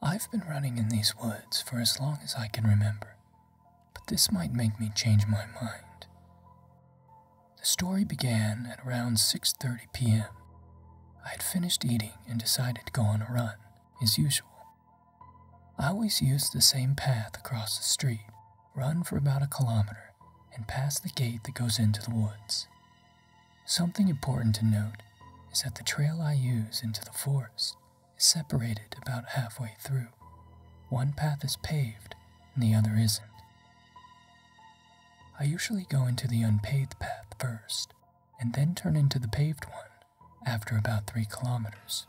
I've been running in these woods for as long as I can remember, but this might make me change my mind. The story began at around 6:30 p.m. I had finished eating and decided to go on a run, as usual. I always use the same path across the street, run for about a kilometer, and pass the gate that goes into the woods. Something important to note is that the trail I use into the forest is separated about halfway through. One path is paved and the other isn't. I usually go into the unpaved path first and then turn into the paved one after about 3 kilometers.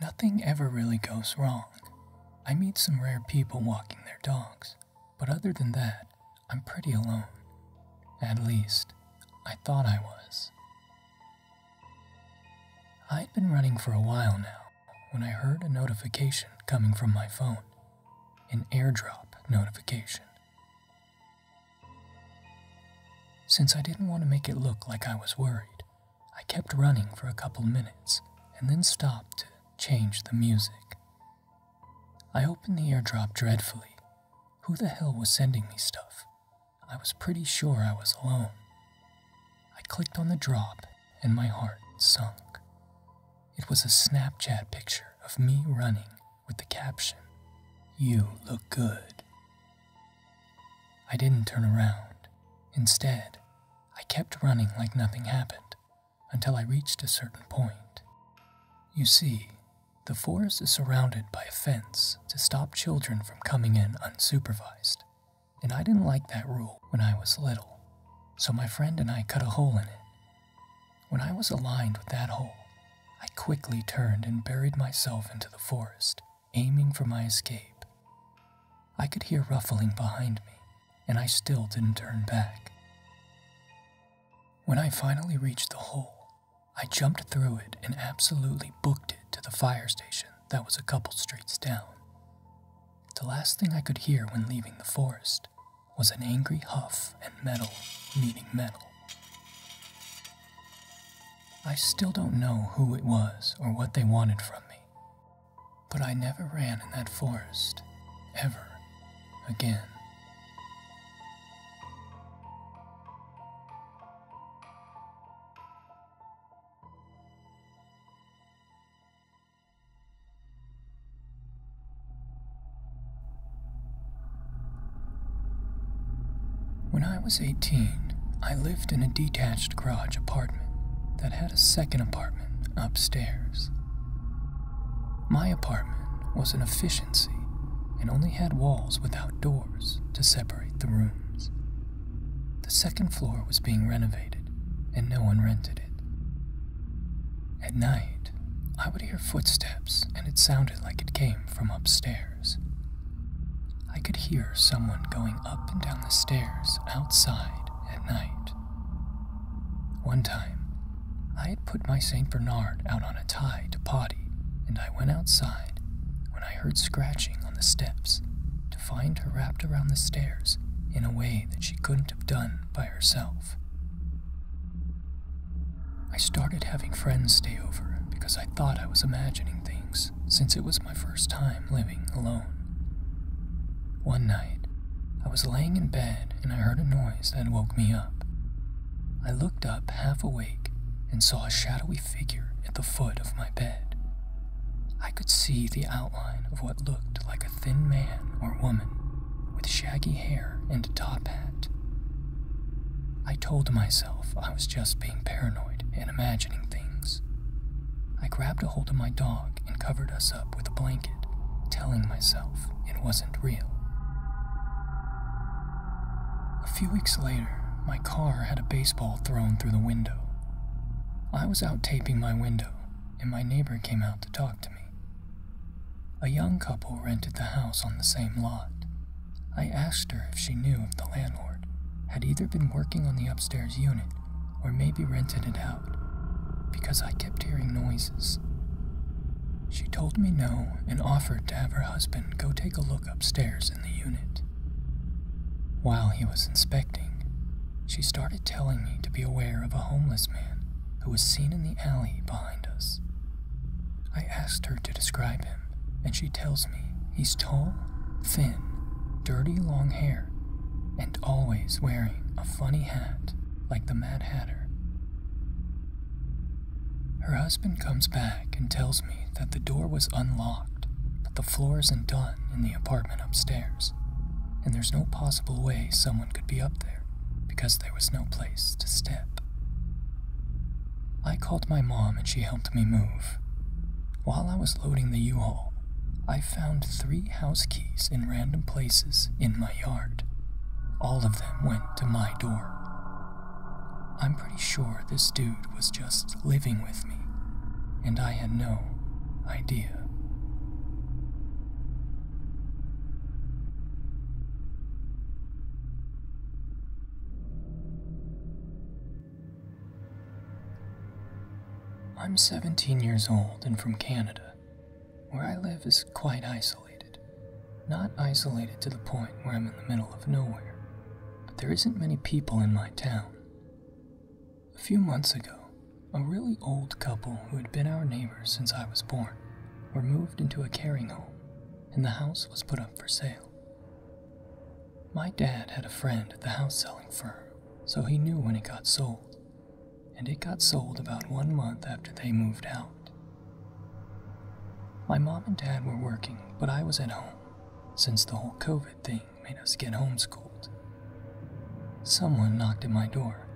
Nothing ever really goes wrong. I meet some rare people walking their dogs, but other than that, I'm pretty alone. At least, I thought I was. I'd been running for a while now when I heard a notification coming from my phone an airdrop notification. Since I didn't want to make it look like I was worried, I kept running for a couple minutes and then stopped to change the music. I opened the airdrop dreadfully. Who the hell was sending me stuff? I was pretty sure I was alone. I clicked on the drop and my heart sunk. It was a Snapchat picture of me running with the caption, You look good. I didn't turn around. Instead, I kept running like nothing happened until I reached a certain point. You see, the forest is surrounded by a fence to stop children from coming in unsupervised, and I didn't like that rule when I was little, so my friend and I cut a hole in it when I was aligned with that hole, I quickly turned and buried myself into the forest, aiming for my escape. I could hear ruffling behind me, and I still didn't turn back. When I finally reached the hole, I jumped through it and absolutely booked it to the fire station that was a couple streets down. The last thing I could hear when leaving the forest was an angry huff and metal meeting metal. I still don't know who it was or what they wanted from me, but I never ran in that forest, ever again. When I was 18, I lived in a detached garage apartment that had a second apartment upstairs. My apartment was an efficiency and only had walls without doors to separate the rooms. The second floor was being renovated and no one rented it. At night, I would hear footsteps, and it sounded like it came from upstairs. I could hear someone going up and down the stairs outside at night. One time, I had put my St. Bernard out on a tie to potty, and I went outside when I heard scratching on the steps to find her wrapped around the stairs in a way that she couldn't have done by herself. I started having friends stay over because I thought I was imagining things since it was my first time living alone. One night, I was laying in bed and I heard a noise that woke me up. I looked up half awake and saw a shadowy figure at the foot of my bed. I could see the outline of what looked like a thin man or woman with shaggy hair and a top hat. I told myself I was just being paranoid and imagining things. I grabbed a hold of my dog and covered us up with a blanket, telling myself it wasn't real. A few weeks later, my car had a baseball thrown through the window. I was out taping my window, and my neighbor came out to talk to me. A young couple rented the house on the same lot. I asked her if she knew if the landlord had either been working on the upstairs unit or maybe rented it out, because I kept hearing noises. She told me no and offered to have her husband go take a look upstairs in the unit. While he was inspecting, she started telling me to be aware of a homeless man who was seen in the alley behind us. I asked her to describe him, and she tells me he's tall, thin, dirty long hair, and always wearing a funny hat like the Mad Hatter. Her husband comes back and tells me that the door was unlocked, but the floor isn't done in the apartment upstairs, and there's no possible way someone could be up there because there was no place to step. I called my mom and she helped me move. While I was loading the U haul, I found three house keys in random places in my yard. All of them went to my door. I'm pretty sure this dude was just living with me, and I had no idea. I'm 17 years old and from Canada. Where I live is quite isolated. Not isolated to the point where I'm in the middle of nowhere, but there isn't many people in my town. A few months ago, a really old couple who had been our neighbors since I was born were moved into a caring home, and the house was put up for sale. My dad had a friend at the house selling firm, so he knew when it got sold, and it got sold about one month after they moved out. My mom and dad were working, but I was at home, since the whole COVID thing made us get homeschooled. Someone knocked at my door,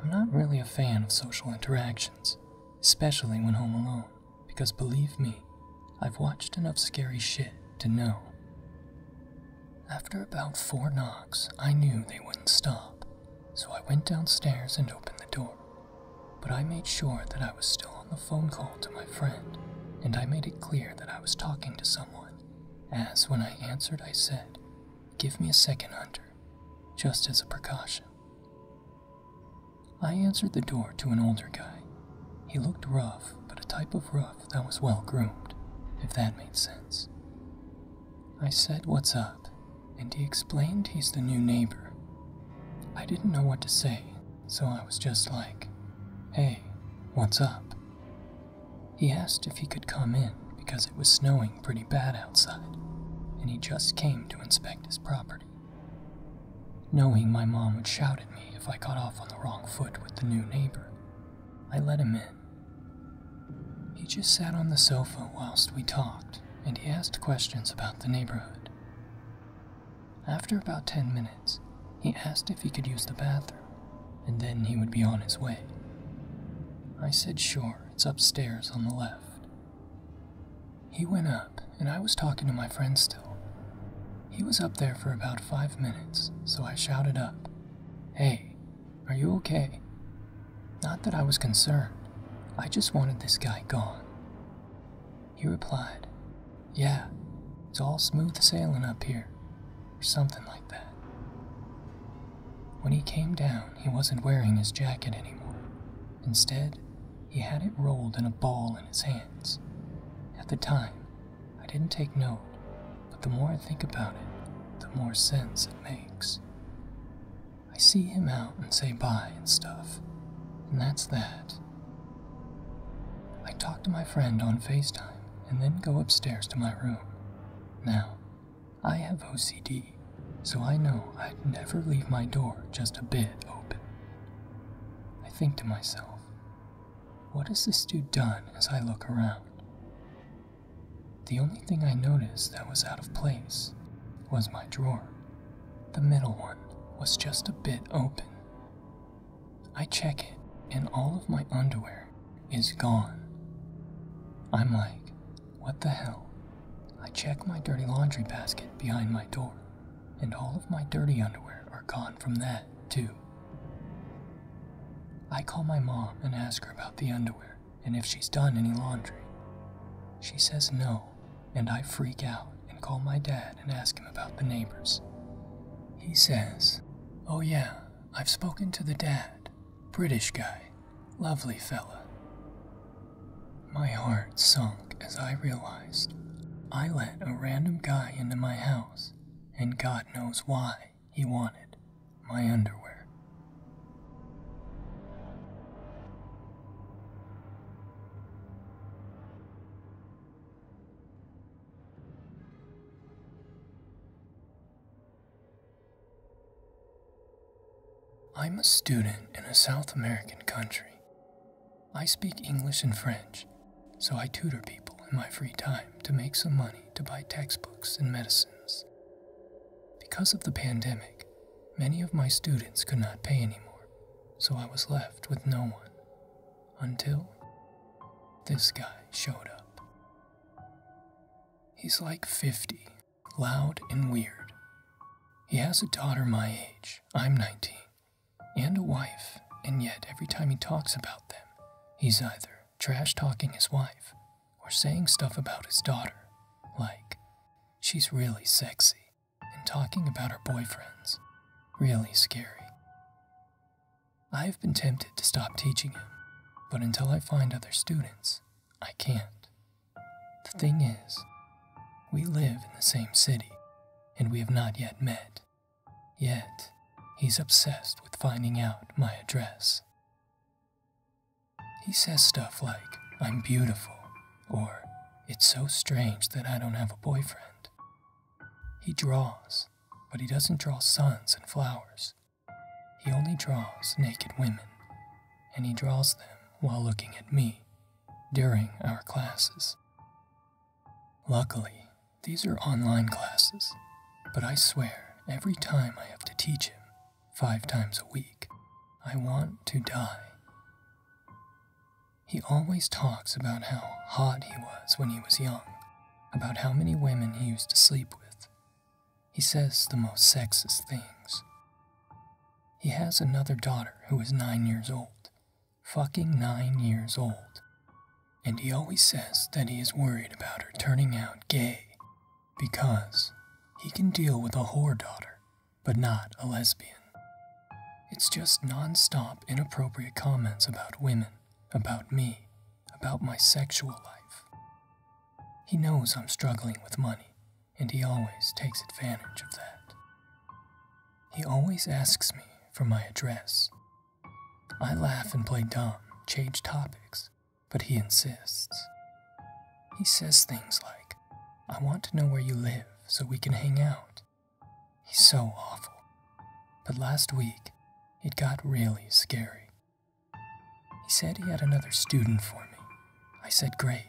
I'm not really a fan of social interactions, especially when home alone, because believe me, I've watched enough scary shit to know. After about four knocks, I knew they wouldn't stop, so I went downstairs and opened the door. But I made sure that I was still on the phone call to my friend, and I made it clear that I was talking to someone, as when I answered, I said, Give me a second, Hunter just as a precaution. I answered the door to an older guy. He looked rough, but a type of rough that was well groomed, if that made sense. I said, What's up? and he explained he's the new neighbor. I didn't know what to say, so I was just like, Hey, what's up? He asked if he could come in because it was snowing pretty bad outside, and he just came to inspect his property. Knowing my mom would shout at me if I got off on the wrong foot with the new neighbor, I let him in. He just sat on the sofa whilst we talked, and he asked questions about the neighborhood. After about 10 minutes, he asked if he could use the bathroom, and then he would be on his way. I said sure, it's upstairs on the left. He went up, and I was talking to my friend still. He was up there for about five minutes, so I shouted up, Hey, are you okay? Not that I was concerned, I just wanted this guy gone. He replied, Yeah, it's all smooth sailing up here, or something like that. When he came down, he wasn't wearing his jacket anymore. Instead, he had it rolled in a ball in his hands. At the time, I didn't take note, but the more I think about it, the more sense it makes. I see him out and say bye and stuff, and that's that. I talk to my friend on FaceTime and then go upstairs to my room. Now, I have OCD, so I know I'd never leave my door just a bit open. I think to myself, what has this dude done as I look around? The only thing I noticed that was out of place was my drawer. The middle one was just a bit open. I check it, and all of my underwear is gone. I'm like, what the hell? I check my dirty laundry basket behind my door, and all of my dirty underwear are gone from that, too. I call my mom and ask her about the underwear and if she's done any laundry. She says no, and I freak out and call my dad and ask him about the neighbors. He says, Oh, yeah, I've spoken to the dad, British guy, Lovely fella. My heart sunk as I realized I let a random guy into my house, and God knows why he wanted my underwear. I'm a student in a South American country. I speak English and French, so I tutor people in my free time to make some money to buy textbooks and medicines. Because of the pandemic, many of my students could not pay anymore, so I was left with no one. Until this guy showed up. He's like 50 loud and weird. He has a daughter my age, I'm 19, and a wife, and yet every time he talks about them, he's either trash talking his wife or saying stuff about his daughter, like, she's really sexy, and talking about her boyfriends. Really scary. I have been tempted to stop teaching him, but until I find other students, I can't. The thing is, we live in the same city, and we have not yet met. Yet, he's obsessed with finding out my address. He says stuff like, I'm beautiful, or it's so strange that I don't have a boyfriend. He draws, but he doesn't draw suns and flowers he only draws naked women, and he draws them while looking at me during our classes. Luckily, these are online classes, but I swear every time I have to teach him, five times a week, I want to die. He always talks about how hot he was when he was young, about how many women he used to sleep with. He says the most sexist things. He has another daughter who is nine years old. Fucking nine years old. And he always says that he is worried about her turning out gay because he can deal with a whore daughter, but not a lesbian. It's just non-stop inappropriate comments about women, about me, about my sexual life. He knows I'm struggling with money, and he always takes advantage of that. He always asks me for my address. I laugh and play dumb, change topics, but he insists. He says things like, I want to know where you live so we can hang out. He's so awful. But last week, it got really scary. He said he had another student for me. I said, Great.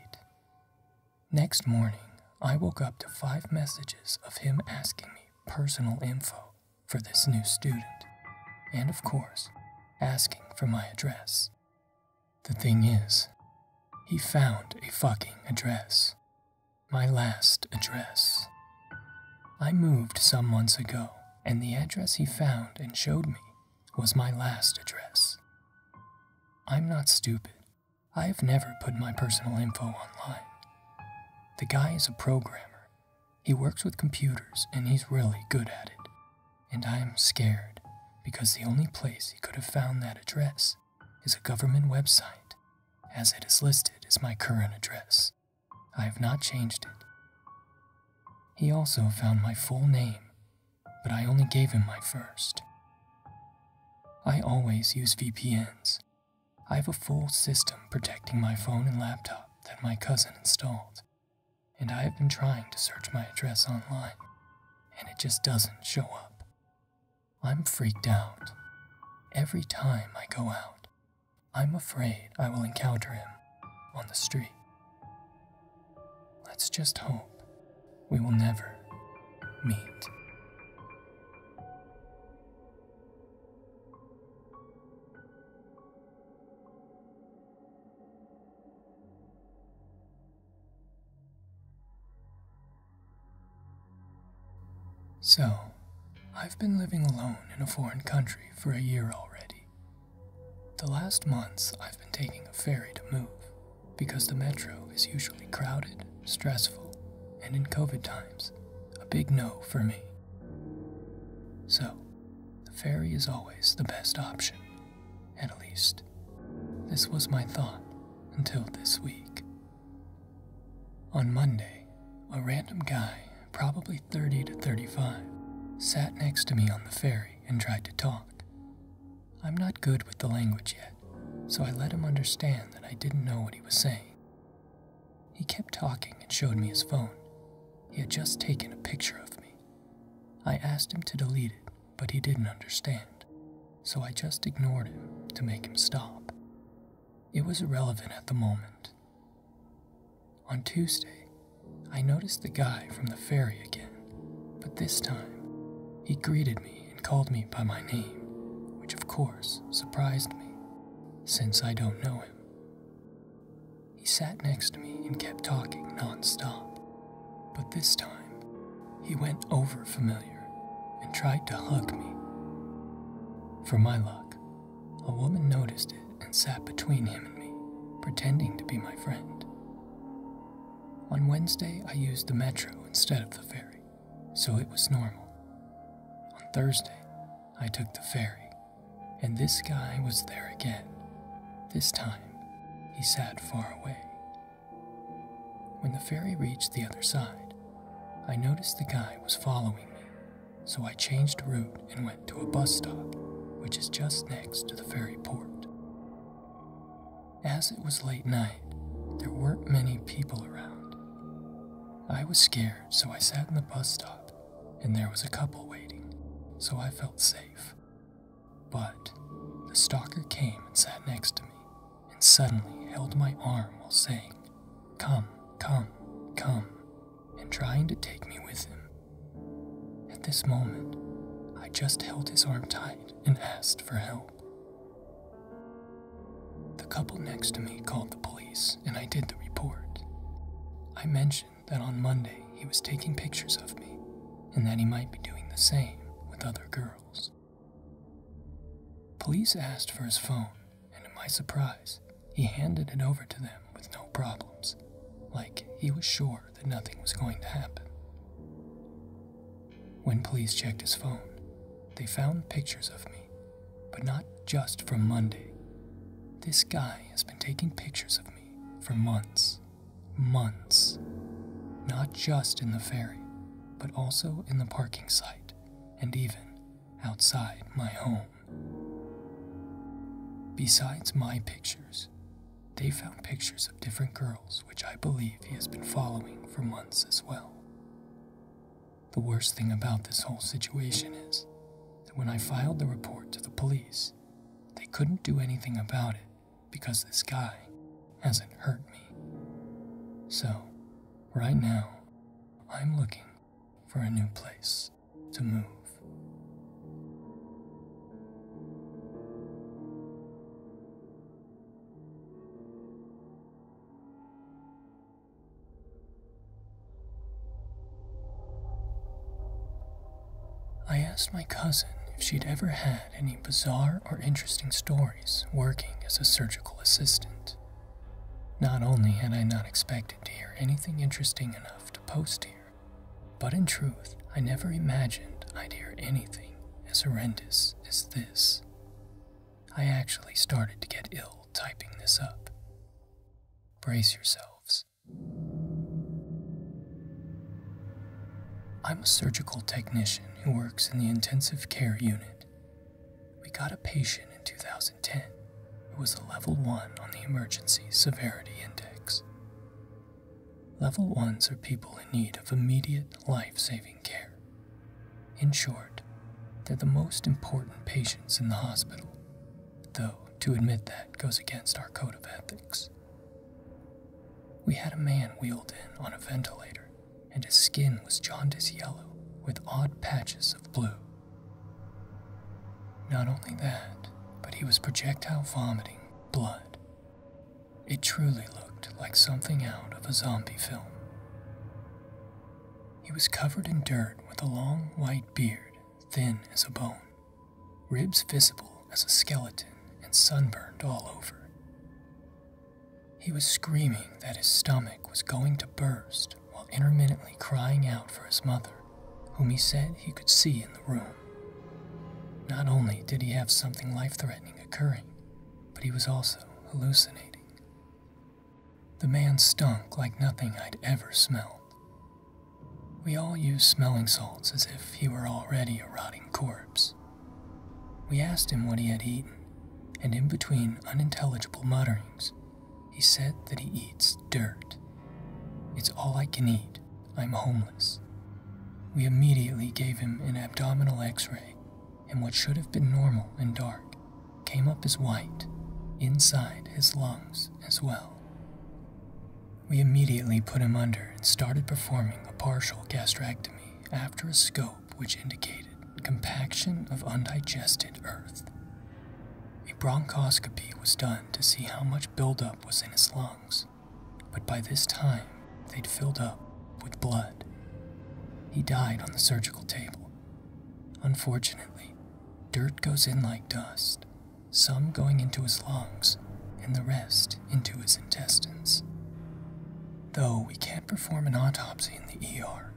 Next morning, I woke up to five messages of him asking me personal info for this new student, and of course, asking for my address. The thing is, he found a fucking address. My last address. I moved some months ago, and the address he found and showed me was my last address. I'm not stupid. I have never put my personal info online. The guy is a programmer. He works with computers and he's really good at it. And I am scared because the only place he could have found that address is a government website, as it is listed as my current address. I have not changed it. He also found my full name but I only gave him my first. I always use VPNs. I have a full system protecting my phone and laptop that my cousin installed, and I have been trying to search my address online, and it just doesn't show up. I'm freaked out. Every time I go out, I'm afraid I will encounter him on the street. Let's just hope we will never meet. So, I've been living alone in a foreign country for a year already, the last months, I've been taking a ferry to move because the metro is usually crowded, stressful, and in COVID times, a big no for me. So, the ferry is always the best option, at least. This was my thought until this week. On Monday, a random guy, probably 30 to 35, sat next to me on the ferry and tried to talk. I'm not good with the language yet, so I let him understand that I didn't know what he was saying. He kept talking and showed me his phone. He had just taken a picture of me. I asked him to delete it, but he didn't understand, so I just ignored him to make him stop. It was irrelevant at the moment. On Tuesday, I noticed the guy from the ferry again, but this time he greeted me and called me by my name, which of course surprised me, since I don't know him. He sat next to me and kept talking nonstop, but this time he went over familiar and tried to hug me. For my luck, a woman noticed it and sat between him and me, pretending to be my friend. On Wednesday, I used the metro instead of the ferry, so it was normal. On Thursday, I took the ferry, and this guy was there again. This time, he sat far away. When the ferry reached the other side, I noticed the guy was following me, so I changed route and went to a bus stop, which is just next to the ferry port. As it was late night, there weren't many people around. I was scared, so I sat in the bus stop, and there was a couple waiting, so I felt safe. But the stalker came and sat next to me, and suddenly held my arm while saying, Come, come, come, and trying to take me with him. At this moment, I just held his arm tight and asked for help. The couple next to me called the police and I did the report. I mentioned that on Monday he was taking pictures of me and that he might be doing the same with other girls. Police asked for his phone, and to my surprise, he handed it over to them with no problems, like he was sure that nothing was going to happen. When police checked his phone, they found pictures of me, but not just from Monday. This guy has been taking pictures of me for months, months, not just in the ferry, but also in the parking site and even outside my home. Besides my pictures, they found pictures of different girls, which I believe he has been following for months as well. The worst thing about this whole situation is that when I filed the report to the police, they couldn't do anything about it because this guy hasn't hurt me. So, right now, I'm looking for a new place to move. I asked my cousin if she'd ever had any bizarre or interesting stories working as a surgical assistant. Not only had I not expected to hear anything interesting enough to post here, but in truth, I never imagined I'd hear anything as horrendous as this. I actually started to get ill typing this up. Brace yourselves. I'm a surgical technician who works in the intensive care unit. We got a patient in 2010 who was a level 1 on the emergency severity index. Level 1s are people in need of immediate life saving care. In short, they're the most important patients in the hospital, though to admit that goes against our code of ethics. We had a man wheeled in on a ventilator, and his skin was jaundice yellow with odd patches of blue. Not only that, but he was projectile vomiting blood it truly looked like something out of a zombie film. He was covered in dirt with a long white beard, thin as a bone, ribs visible as a skeleton, and sunburned all over. He was screaming that his stomach was going to burst while intermittently crying out for his mother, whom he said he could see in the room. Not only did he have something life threatening occurring, but he was also hallucinating. The man stunk like nothing I'd ever smelled. We all used smelling salts as if he were already a rotting corpse. We asked him what he had eaten, and in between unintelligible mutterings, he said that he eats dirt. It's all I can eat, I'm homeless. We immediately gave him an abdominal x ray, and what should have been normal and dark came up as white, inside his lungs as well. We immediately put him under and started performing a partial gastrectomy after a scope which indicated compaction of undigested earth. A bronchoscopy was done to see how much buildup was in his lungs but by this time they'd filled up with blood. He died on the surgical table. Unfortunately, dirt goes in like dust, some going into his lungs and the rest into his intestines. Though we can't perform an autopsy in the ER,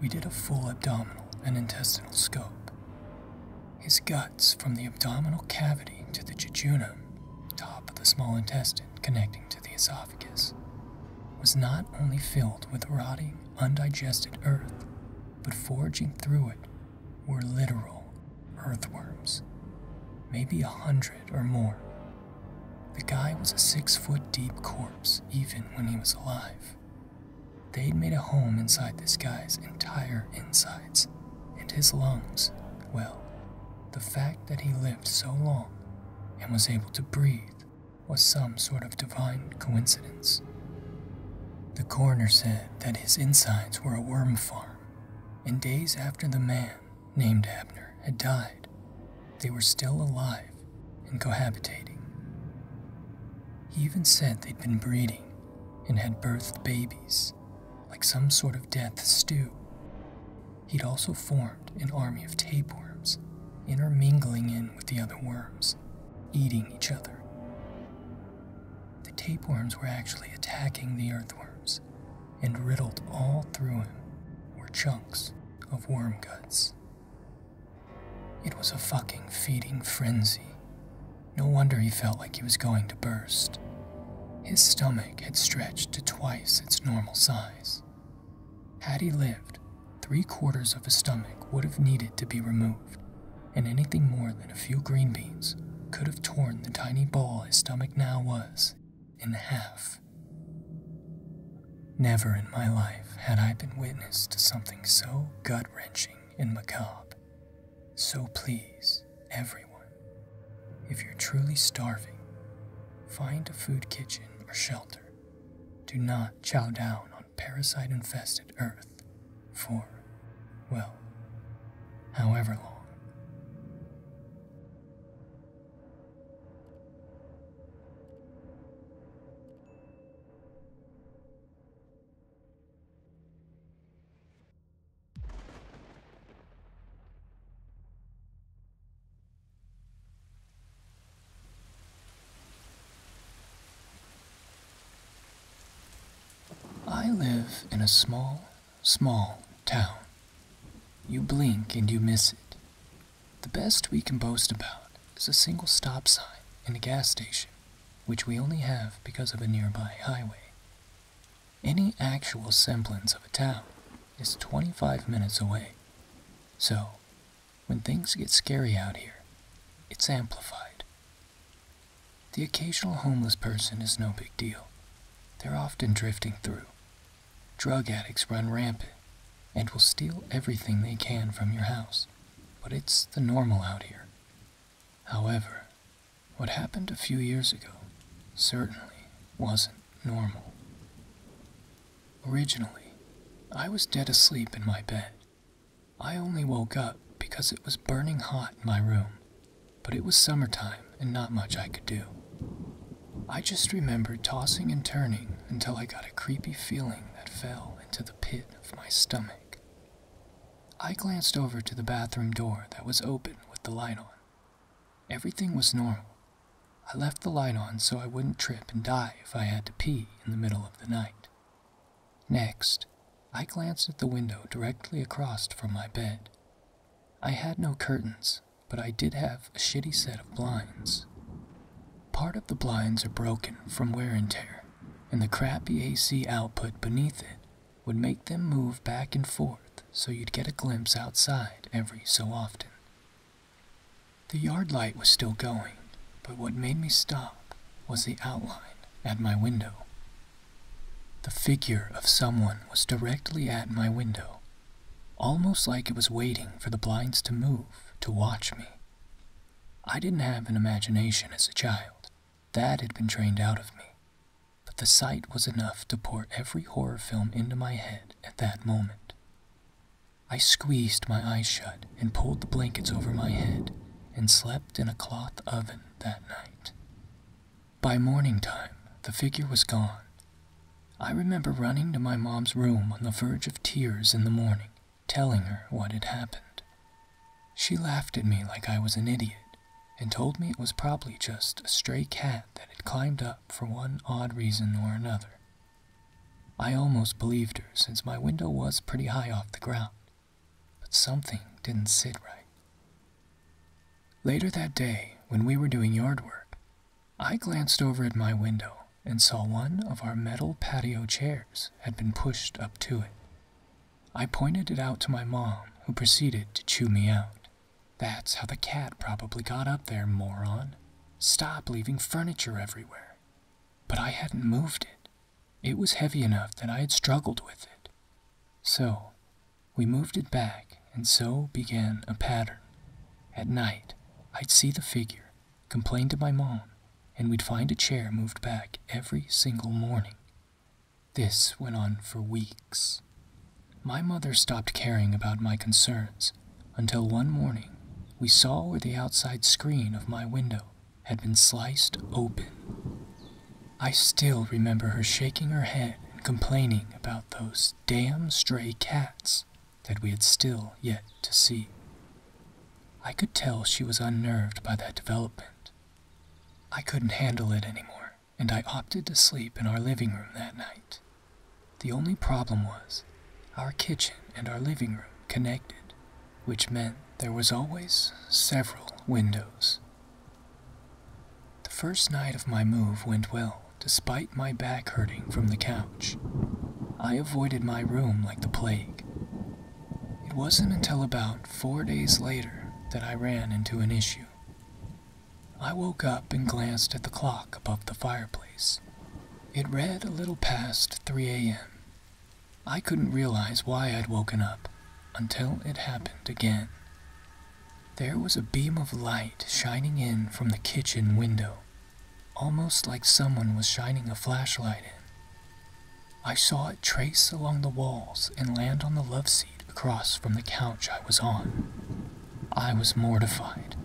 we did a full abdominal and intestinal scope. His guts from the abdominal cavity to the jejunum top of the small intestine connecting to the esophagus, was not only filled with rotting, undigested earth, but foraging through it were literal earthworms, maybe a hundred or more. The guy was a six foot deep corpse even when he was alive. They'd made a home inside this guy's entire insides, and his lungs, well, the fact that he lived so long and was able to breathe was some sort of divine coincidence. The coroner said that his insides were a worm farm, and days after the man named Abner had died, they were still alive and cohabitating. He even said they'd been breeding and had birthed babies like some sort of death stew. He'd also formed an army of tapeworms, intermingling in with the other worms, eating each other. The tapeworms were actually attacking the earthworms, and riddled all through him were chunks of worm guts. It was a fucking feeding frenzy. No wonder he felt like he was going to burst. His stomach had stretched to twice its normal size. Had he lived, three quarters of his stomach would have needed to be removed, and anything more than a few green beans could have torn the tiny ball his stomach now was in half. Never in my life had I been witness to something so gut wrenching and macabre. So please everyone if you're truly starving, find a food kitchen or shelter. Do not chow down on parasite infested earth for, well, however long. I live in a small, small town. You blink and you miss it. The best we can boast about is a single stop sign and a gas station, which we only have because of a nearby highway. Any actual semblance of a town is 25 minutes away. So, when things get scary out here, it's amplified. The occasional homeless person is no big deal. They're often drifting through. Drug addicts run rampant and will steal everything they can from your house, but it's the normal out here. However, what happened a few years ago certainly wasn't normal. Originally, I was dead asleep in my bed. I only woke up because it was burning hot in my room, but it was summertime and not much I could do. I just remembered tossing and turning until I got a creepy feeling that fell into the pit of my stomach. I glanced over to the bathroom door that was open with the light on. Everything was normal. I left the light on so I wouldn't trip and die if I had to pee in the middle of the night. Next, I glanced at the window directly across from my bed. I had no curtains, but I did have a shitty set of blinds. Part of the blinds are broken from wear and tear, and the crappy AC output beneath it would make them move back and forth so you'd get a glimpse outside every so often. The yard light was still going, but what made me stop was the outline at my window. The figure of someone was directly at my window, almost like it was waiting for the blinds to move to watch me. I didn't have an imagination as a child. That had been trained out of me but the sight was enough to pour every horror film into my head at that moment. I squeezed my eyes shut and pulled the blankets over my head and slept in a cloth oven that night. By morning time, the figure was gone. I remember running to my mom's room on the verge of tears in the morning, telling her what had happened. She laughed at me like I was an idiot and told me it was probably just a stray cat that had climbed up for one odd reason or another. I almost believed her since my window was pretty high off the ground, but something didn't sit right. Later that day, when we were doing yard work, I glanced over at my window and saw one of our metal patio chairs had been pushed up to it. I pointed it out to my mom, who proceeded to chew me out. That's how the cat probably got up there, moron. Stop leaving furniture everywhere. But I hadn't moved it. It was heavy enough that I had struggled with it. So, we moved it back, and so began a pattern. At night, I'd see the figure, complain to my mom, and we'd find a chair moved back every single morning. This went on for weeks. My mother stopped caring about my concerns until one morning we saw where the outside screen of my window had been sliced open. I still remember her shaking her head and complaining about those damn stray cats that we had still yet to see. I could tell she was unnerved by that development. I couldn't handle it anymore and I opted to sleep in our living room that night. The only problem was our kitchen and our living room connected, which meant there was always several windows. The first night of my move went well, despite my back hurting from the couch. I avoided my room like the plague. It wasn't until about four days later that I ran into an issue. I woke up and glanced at the clock above the fireplace. It read a little past 3 a.m. I couldn't realize why I'd woken up until it happened again. There was a beam of light shining in from the kitchen window, almost like someone was shining a flashlight in. I saw it trace along the walls and land on the loveseat across from the couch I was on. I was mortified.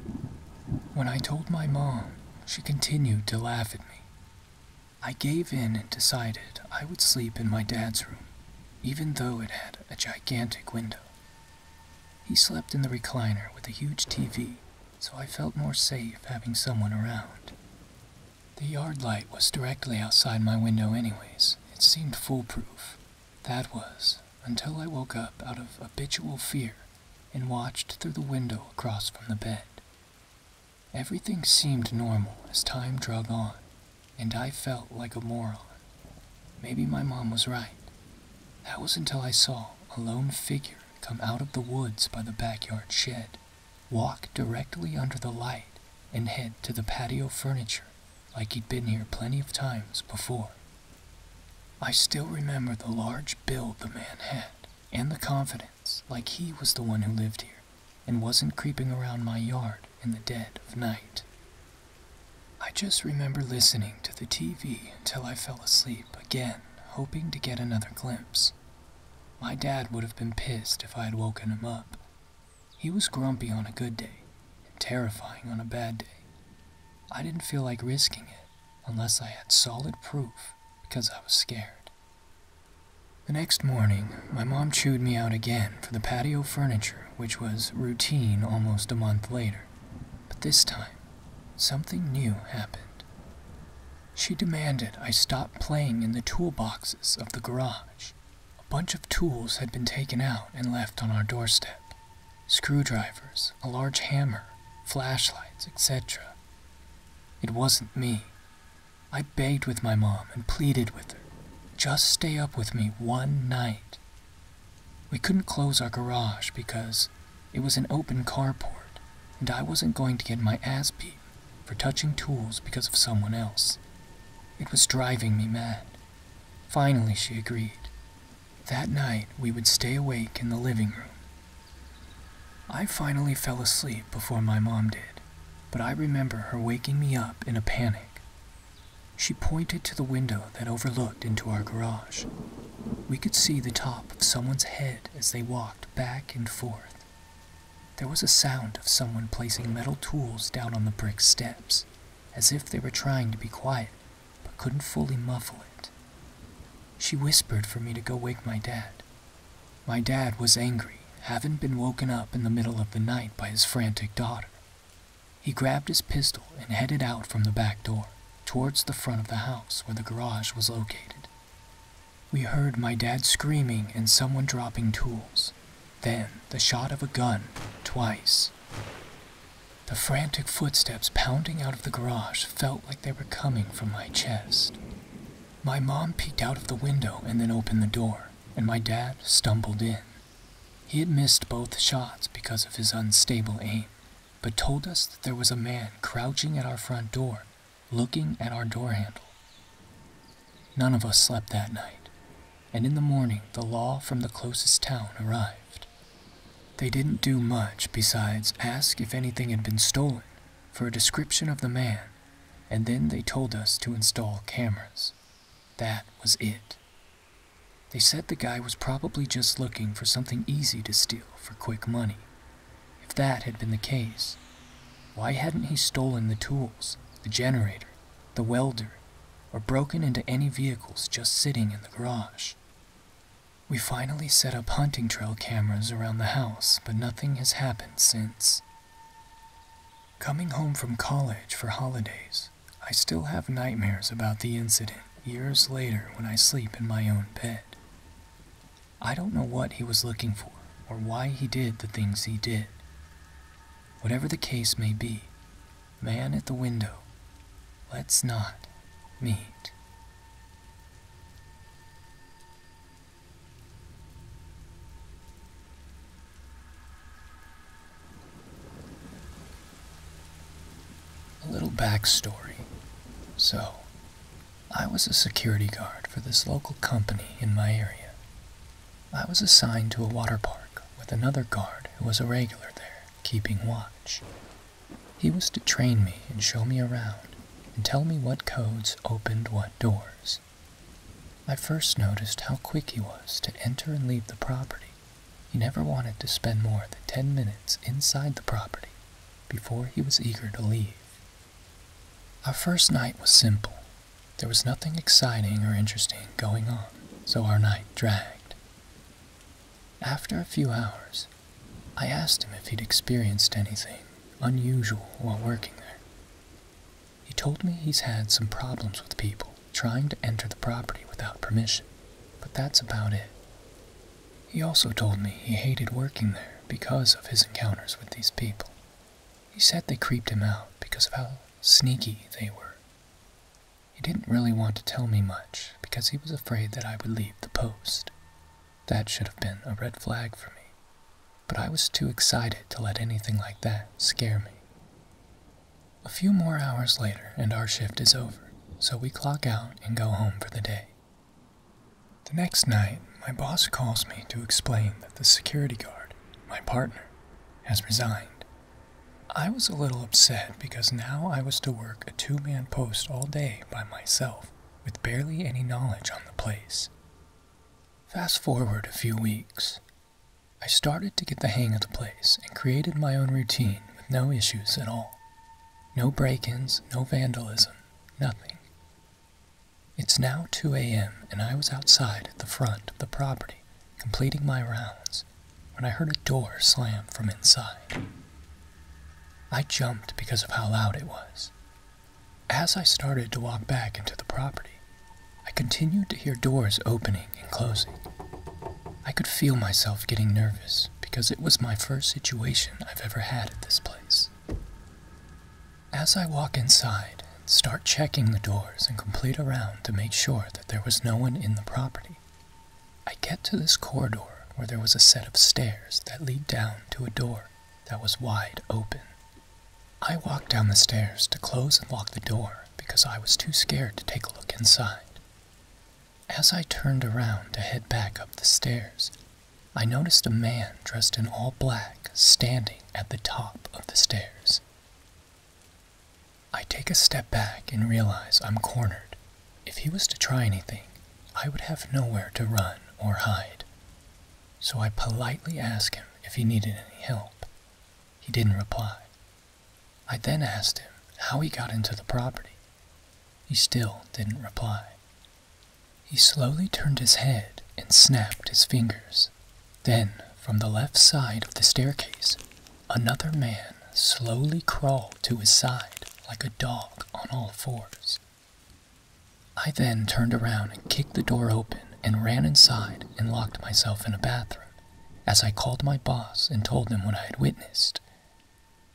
When I told my mom, she continued to laugh at me. I gave in and decided I would sleep in my dad's room, even though it had a gigantic window. He slept in the recliner with a huge TV, so I felt more safe having someone around. The yard light was directly outside my window, anyways. It seemed foolproof, that was until I woke up out of habitual fear and watched through the window across from the bed. Everything seemed normal as time drug on, and I felt like a moron. Maybe my mom was right. That was until I saw a lone figure come out of the woods by the backyard shed, walk directly under the light, and head to the patio furniture like he'd been here plenty of times before. I still remember the large build the man had, and the confidence, like he was the one who lived here, and wasn't creeping around my yard in the dead of night. I just remember listening to the TV until I fell asleep again, hoping to get another glimpse. My dad would have been pissed if I had woken him up, he was grumpy on a good day and terrifying on a bad day. I didn't feel like risking it unless I had solid proof because I was scared. The next morning, my mom chewed me out again for the patio furniture, which was routine almost a month later. But this time, something new happened. She demanded I stop playing in the toolboxes of the garage. A bunch of tools had been taken out and left on our doorstep screwdrivers, a large hammer, flashlights, etc. It wasn't me. I begged with my mom and pleaded with her. Just stay up with me one night. We couldn't close our garage because it was an open carport, and I wasn't going to get my ass beat for touching tools because of someone else. It was driving me mad. Finally, she agreed. That night, we would stay awake in the living room. I finally fell asleep before my mom did, but I remember her waking me up in a panic. She pointed to the window that overlooked into our garage. We could see the top of someone's head as they walked back and forth. There was a sound of someone placing metal tools down on the brick steps, as if they were trying to be quiet but couldn't fully muffle it. She whispered for me to go wake my dad. My dad was angry, having been woken up in the middle of the night by his frantic daughter. He grabbed his pistol and headed out from the back door, towards the front of the house where the garage was located. We heard my dad screaming and someone dropping tools, then the shot of a gun twice. The frantic footsteps pounding out of the garage felt like they were coming from my chest. My mom peeked out of the window and then opened the door, and my dad stumbled in. He had missed both shots because of his unstable aim, but told us that there was a man crouching at our front door, looking at our door handle. None of us slept that night, and in the morning the law from the closest town arrived. They didn't do much besides ask if anything had been stolen for a description of the man, and then they told us to install cameras. That was it. They said the guy was probably just looking for something easy to steal for quick money. If that had been the case, why hadn't he stolen the tools, the generator, the welder, or broken into any vehicles just sitting in the garage. We finally set up hunting trail cameras around the house, but nothing has happened since. Coming home from college for holidays, I still have nightmares about the incident years later when I sleep in my own bed. I don't know what he was looking for or why he did the things he did. Whatever the case may be, Man at the window, let's not meet. A little backstory. So, I was a security guard for this local company in my area. I was assigned to a water park with another guard who was a regular there keeping watch. He was to train me and show me around and tell me what codes opened what doors. I first noticed how quick he was to enter and leave the property. He never wanted to spend more than ten minutes inside the property before he was eager to leave. Our first night was simple. There was nothing exciting or interesting going on, so our night dragged. After a few hours, I asked him if he'd experienced anything unusual while working there. He told me he's had some problems with people trying to enter the property without permission, but that's about it. He also told me he hated working there because of his encounters with these people. He said they creeped him out because of how sneaky they were. He didn't really want to tell me much because he was afraid that I would leave the post. That should have been a red flag for me, but I was too excited to let anything like that scare me. A few more hours later, and our shift is over, so we clock out and go home for the day. The next night, my boss calls me to explain that the security guard, my partner, has resigned I was a little upset because now I was to work a two man post all day by myself with barely any knowledge on the place. Fast forward a few weeks. I started to get the hang of the place and created my own routine with no issues at all. No break ins, no vandalism, nothing. It's now 2 a.m., and I was outside at the front of the property completing my rounds when I heard a door slam from inside. I jumped because of how loud it was. As I started to walk back into the property, I continued to hear doors opening and closing. I could feel myself getting nervous because it was my first situation I've ever had at this place. As I walk inside and start checking the doors and complete a round to make sure that there was no one in the property, I get to this corridor where there was a set of stairs that lead down to a door that was wide open. I walked down the stairs to close and lock the door because I was too scared to take a look inside. As I turned around to head back up the stairs, I noticed a man dressed in all black standing at the top of the stairs. I take a step back and realize I'm cornered. If he was to try anything, I would have nowhere to run or hide. So I politely ask him if he needed any help. He didn't reply. I then asked him how he got into the property. He still didn't reply. He slowly turned his head and snapped his fingers. Then, from the left side of the staircase, Another man slowly crawled to his side like a dog on all fours. I then turned around and kicked the door open and ran inside and locked myself in a bathroom as I called my boss and told them what I had witnessed.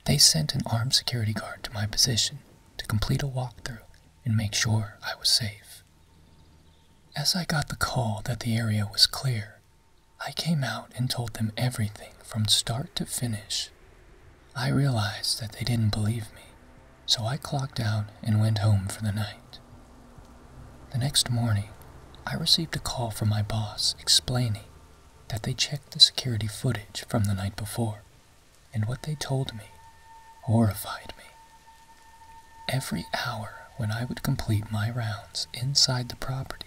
They sent an armed security guard to my position to complete a walkthrough and make sure I was safe. As I got the call that the area was clear, I came out and told them everything from start to finish. I realized that they didn't believe me, so I clocked out and went home for the night. The next morning, I received a call from my boss explaining that they checked the security footage from the night before, and what they told me horrified me. Every hour when I would complete my rounds inside the property,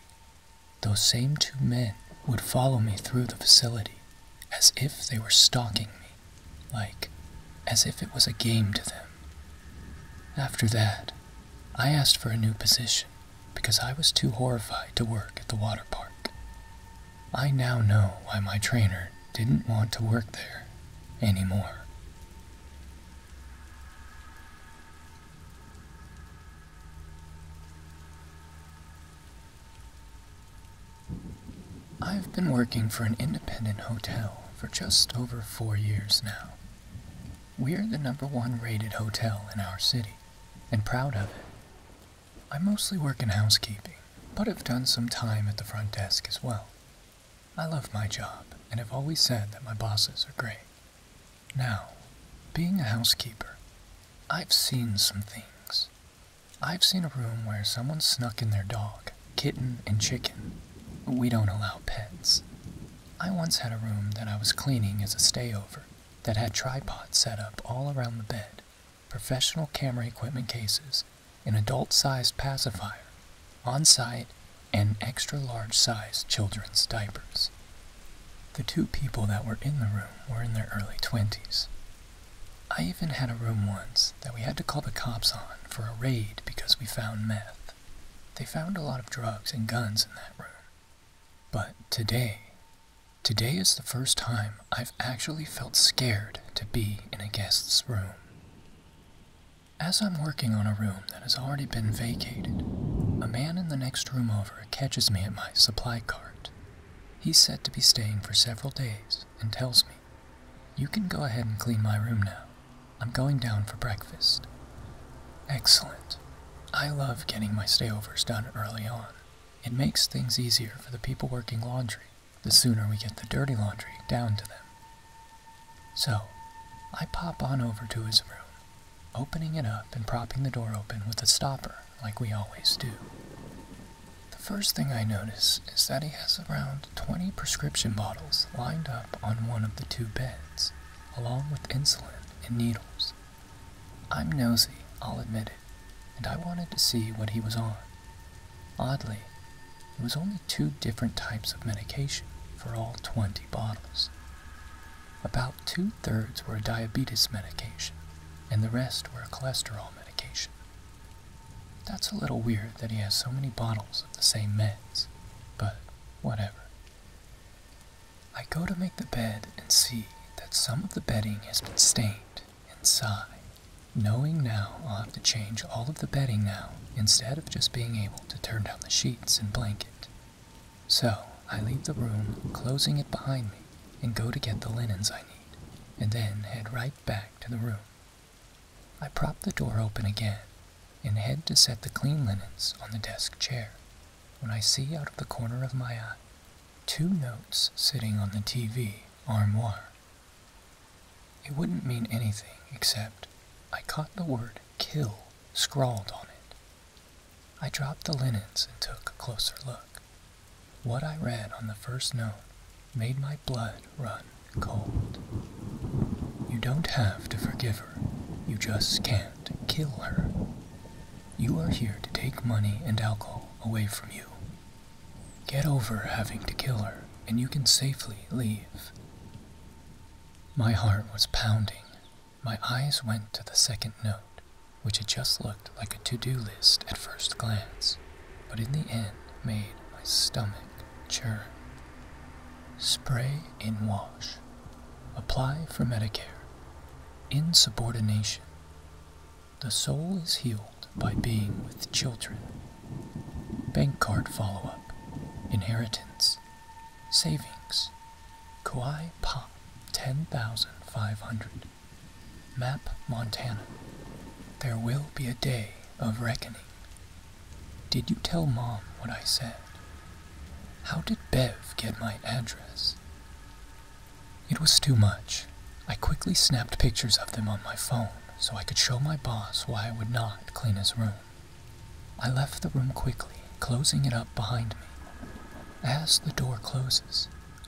those same two men would follow me through the facility as if they were stalking me, like as if it was a game to them. After that, I asked for a new position because I was too horrified to work at the water park. I now know why my trainer didn't want to work there anymore. I've been working for an independent hotel for just over four years now. We're the number one rated hotel in our city, and proud of it. I mostly work in housekeeping, but have done some time at the front desk as well. I love my job, and have always said that my bosses are great. Now, being a housekeeper, I've seen some things. I've seen a room where someone snuck in their dog, kitten, and chicken. We don't allow pets. I once had a room that I was cleaning as a stayover that had tripods set up all around the bed, professional camera equipment cases, an adult sized pacifier, on site, and extra large sized children's diapers. The two people that were in the room were in their early 20s. I even had a room once that we had to call the cops on for a raid because we found meth. They found a lot of drugs and guns in that room. But today, today is the first time I've actually felt scared to be in a guest's room. As I'm working on a room that has already been vacated. A man in the next room over catches me at my supply cart. He's said to be staying for several days and tells me, You can go ahead and clean my room now. I'm going down for breakfast. Excellent. I love getting my stayovers done early on. It makes things easier for the people working laundry the sooner we get the dirty laundry down to them. So, I pop on over to his room opening it up and propping the door open with a stopper, like we always do. The first thing I notice is that he has around 20 prescription bottles lined up on one of the two beds, along with insulin and needles. I'm nosy, I'll admit it, and I wanted to see what he was on. Oddly, it was only two different types of medication for all 20 bottles. About two thirds were a diabetes medication, and the rest were a cholesterol medication. That's a little weird that he has so many bottles of the same meds, but whatever. I go to make the bed and see that some of the bedding has been stained and sigh, knowing now I'll have to change all of the bedding now instead of just being able to turn down the sheets and blanket. So I leave the room, closing it behind me, and go to get the linens I need, and then head right back to the room. I prop the door open again and head to set the clean linens on the desk chair when I see out of the corner of my eye two notes sitting on the TV armoire. It wouldn't mean anything except I caught the word kill scrawled on it, I dropped the linens and took a closer look. What I read on the first note made my blood run cold. You don't have to forgive her, you just can't kill her. You are here to take money and alcohol away from you. Get over having to kill her, and you can safely leave. My heart was pounding my eyes went to the second note, which had just looked like a to do list at first glance, but in the end made my stomach churn. Spray in wash. Apply for Medicare. Insubordination. The soul is healed by being with children. Bank card follow up. Inheritance. Savings Kauai Pa 10,500. Map Montana. There will be a day of reckoning. Did you tell Mom what I said? How did Bev get my address? It was too much. I quickly snapped pictures of them on my phone so I could show my boss why I would not clean his room. I left the room quickly, closing it up behind me. As the door closes,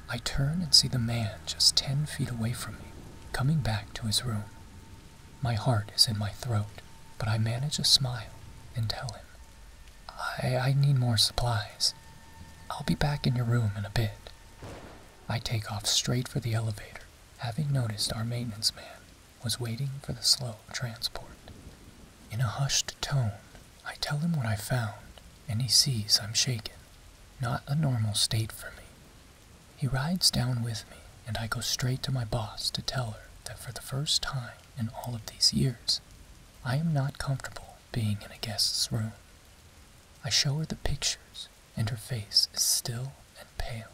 I turn and see the man just ten feet away from me coming back to his room. My heart is in my throat, but I manage a smile and tell him, I, I need more supplies. I'll be back in your room in a bit. I take off straight for the elevator, having noticed our maintenance man was waiting for the slow transport. In a hushed tone, I tell him what I found, and he sees I'm shaken. Not a normal state for me. He rides down with me, and I go straight to my boss to tell her that for the first time in all of these years, I am not comfortable being in a guest's room. I show her the pictures, and her face is still and pale.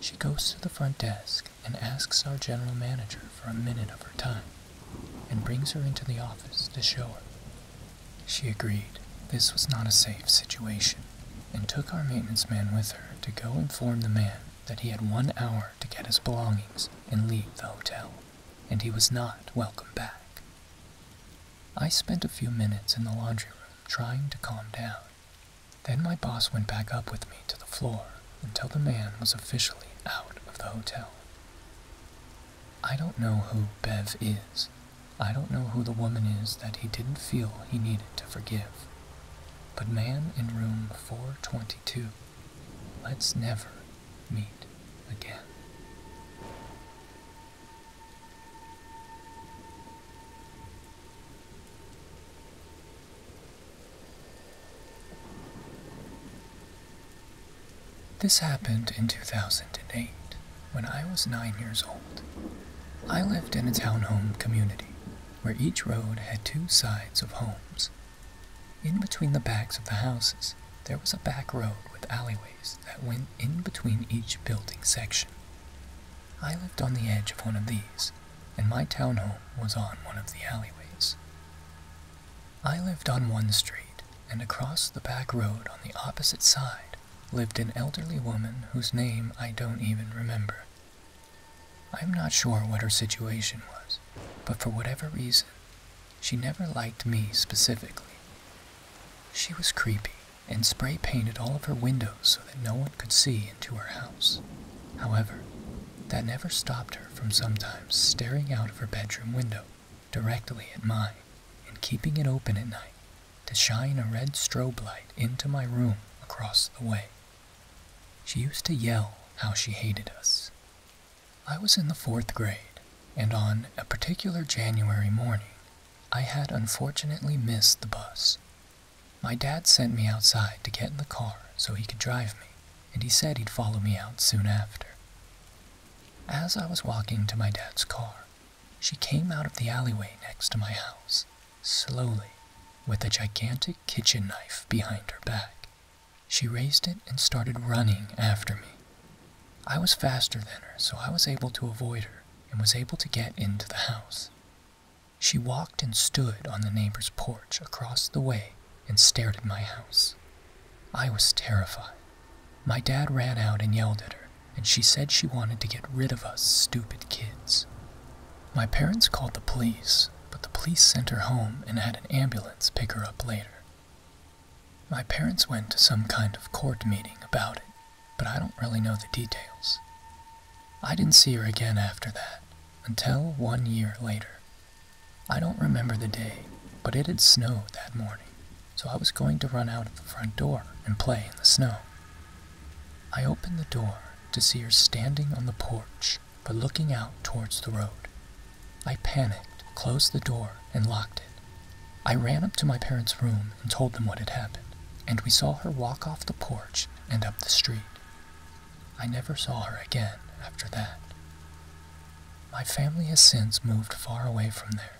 She goes to the front desk and asks our general manager for a minute of her time and brings her into the office to show her. She agreed this was not a safe situation and took our maintenance man with her to go inform the man that he had one hour to get his belongings and leave the hotel, and he was not welcome back. I spent a few minutes in the laundry room trying to calm down. Then my boss went back up with me to the floor until the man was officially out of the hotel. I don't know who Bev is. I don't know who the woman is that he didn't feel he needed to forgive. But man in room 422, let's never meet again. This happened in 2008 when I was nine years old. I lived in a townhome community where each road had two sides of homes. In between the backs of the houses, there was a back road with alleyways that went in between each building section. I lived on the edge of one of these, and my townhome was on one of the alleyways. I lived on one street, and across the back road on the opposite side lived an elderly woman whose name I don't even remember. I'm not sure what her situation was, but for whatever reason, she never liked me specifically. She was creepy and spray painted all of her windows so that no one could see into her house. However, that never stopped her from sometimes staring out of her bedroom window directly at mine and keeping it open at night to shine a red strobe light into my room across the way. She used to yell how she hated us. I was in the fourth grade, and on a particular January morning, I had unfortunately missed the bus. My dad sent me outside to get in the car so he could drive me, and he said he'd follow me out soon after. As I was walking to my dad's car, she came out of the alleyway next to my house, slowly, with a gigantic kitchen knife behind her back. She raised it and started running after me. I was faster than her, so I was able to avoid her and was able to get into the house. She walked and stood on the neighbor's porch across the way and stared at my house. I was terrified. My dad ran out and yelled at her, and she said she wanted to get rid of us stupid kids. My parents called the police, but the police sent her home and had an ambulance pick her up later. My parents went to some kind of court meeting about it, but I don't really know the details. I didn't see her again after that, until one year later, I don't remember the day, but it had snowed that morning, so I was going to run out of the front door and play in the snow. I opened the door to see her standing on the porch but looking out towards the road. I panicked, closed the door, and locked it. I ran up to my parents' room and told them what had happened, and we saw her walk off the porch and up the street. I never saw her again after that. My family has since moved far away from there,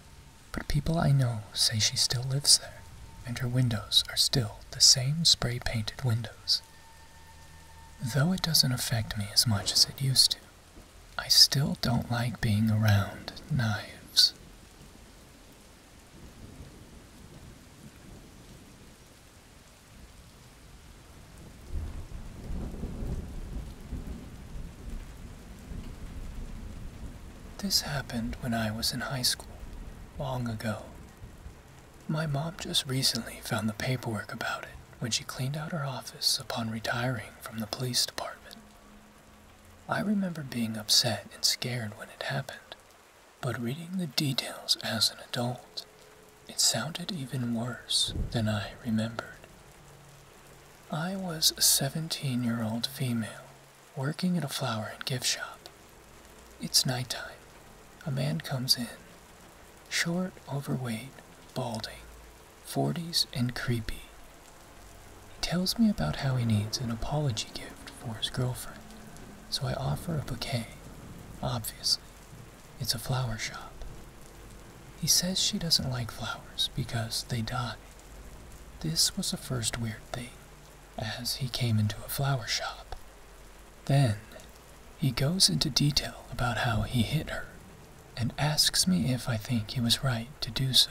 but people I know say she still lives there, and her windows are still the same spray painted windows. Though it doesn't affect me as much as it used to, I still don't like being around knives. This happened when I was in high school, long ago. My mom just recently found the paperwork about it when she cleaned out her office upon retiring from the police department. I remember being upset and scared when it happened, but reading the details as an adult, it sounded even worse than I remembered. I was a 17 year old female working at a flower and gift shop. It's night time. A man comes in. Short, overweight, balding, 40s, and creepy. He tells me about how he needs an apology gift for his girlfriend, so I offer a bouquet, obviously, it's a flower shop. He says she doesn't like flowers because they die. This was the first weird thing, as he came into a flower shop. Then, he goes into detail about how he hit her and asks me if I think he was right to do so.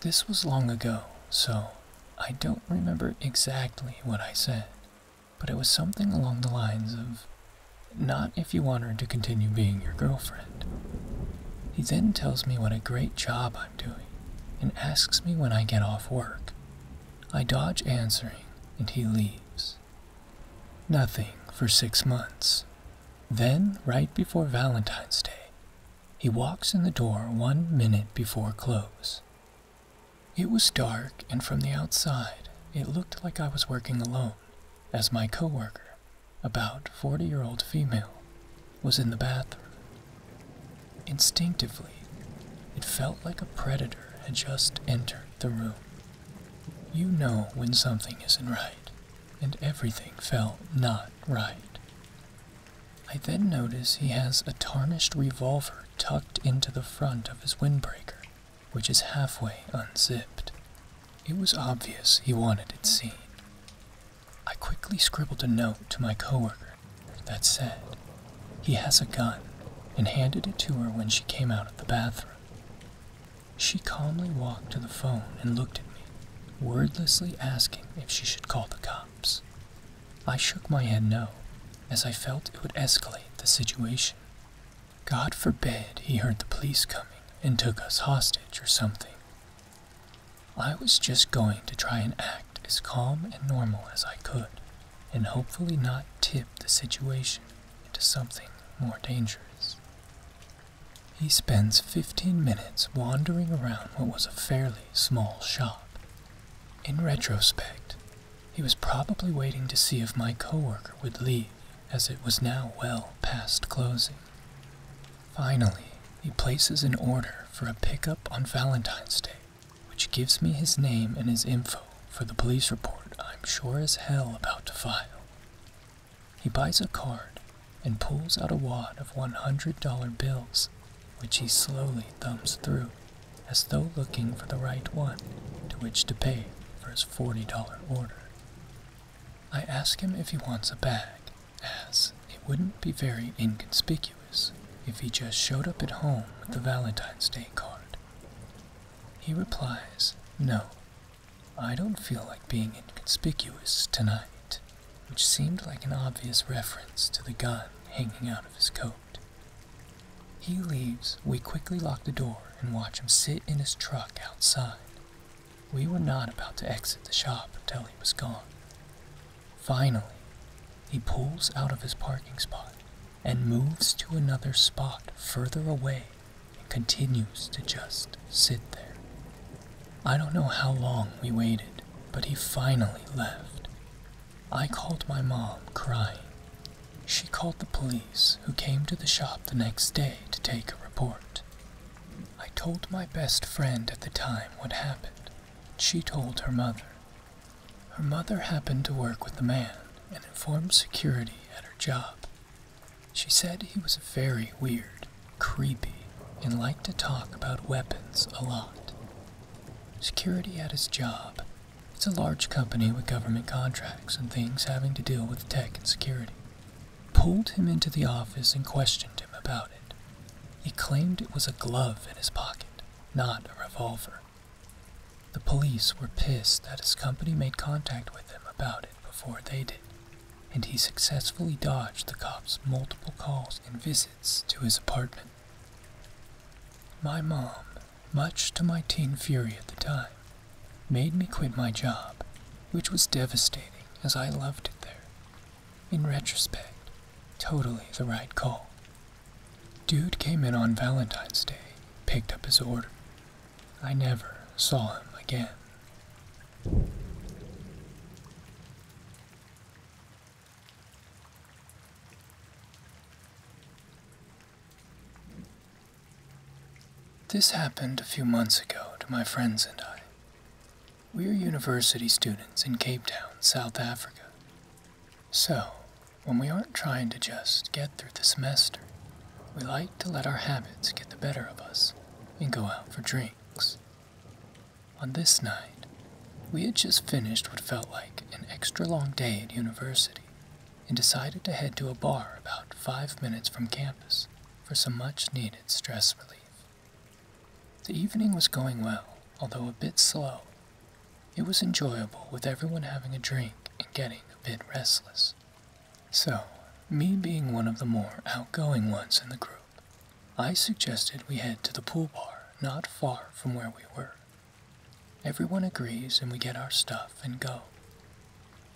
This was long ago, so I don't remember exactly what I said, but it was something along the lines of not if you want her to continue being your girlfriend. He then tells me what a great job I'm doing and asks me when I get off work. I dodge answering and he leaves. Nothing for six months. Then, right before Valentine's Day, he walks in the door one minute before close. It was dark, and from the outside, it looked like I was working alone, as my coworker, about 40 year old female, was in the bathroom. Instinctively, it felt like a predator had just entered the room. You know when something isn't right, and everything felt not right. I then notice he has a tarnished revolver tucked into the front of his windbreaker which is halfway unzipped. It was obvious he wanted it seen. I quickly scribbled a note to my coworker that said, He has a gun, and handed it to her when she came out of the bathroom. She calmly walked to the phone and looked at me, wordlessly asking if she should call the cops. I shook my head no, as I felt it would escalate the situation. God forbid he heard the police coming and took us hostage or something. I was just going to try and act as calm and normal as I could, and hopefully not tip the situation into something more dangerous. He spends 15 minutes wandering around what was a fairly small shop. In retrospect, he was probably waiting to see if my coworker would leave, as it was now well past closing. Finally, he places an order for a pickup on Valentine's Day, which gives me his name and his info for the police report I'm sure as hell about to file. He buys a card and pulls out a wad of $100 bills, which he slowly thumbs through, as though looking for the right one to which to pay for his $40 order. I ask him if he wants a bag, as it wouldn't be very inconspicuous if he just showed up at home with a Valentine's Day card. He replies, No, I don't feel like being inconspicuous tonight, which seemed like an obvious reference to the gun hanging out of his coat. He leaves, we quickly lock the door and watch him sit in his truck outside. We were not about to exit the shop until he was gone. Finally, he pulls out of his parking spot and moves to another spot further away and continues to just sit there. I don't know how long we waited, but he finally left. I called my mom crying she called the police, who came to the shop the next day to take a report. I told my best friend at the time what happened. She told her mother. Her mother happened to work with the man and informed security at her job. She said he was very weird, creepy, and liked to talk about weapons a lot. Security at his job it's a large company with government contracts and things having to deal with tech and security. Pulled him into the office and questioned him about it. He claimed it was a glove in his pocket, not a revolver. The police were pissed that his company made contact with them about it before they did, and he successfully dodged the cops' multiple calls and visits to his apartment. My mom much to my teen fury at the time, made me quit my job, which was devastating as I loved it there. In retrospect, totally the right call. Dude came in on Valentine's Day, picked up his order. I never saw him again. This happened a few months ago to my friends and I. We're university students in Cape Town, South Africa. So, when we aren't trying to just get through the semester, we like to let our habits get the better of us and go out for drinks. On this night, we had just finished what felt like an extra long day at university and decided to head to a bar about five minutes from campus for some much needed stress relief. The evening was going well, although a bit slow. It was enjoyable with everyone having a drink and getting a bit restless. So, me being one of the more outgoing ones in the group, I suggested we head to the pool bar not far from where we were. Everyone agrees and we get our stuff and go.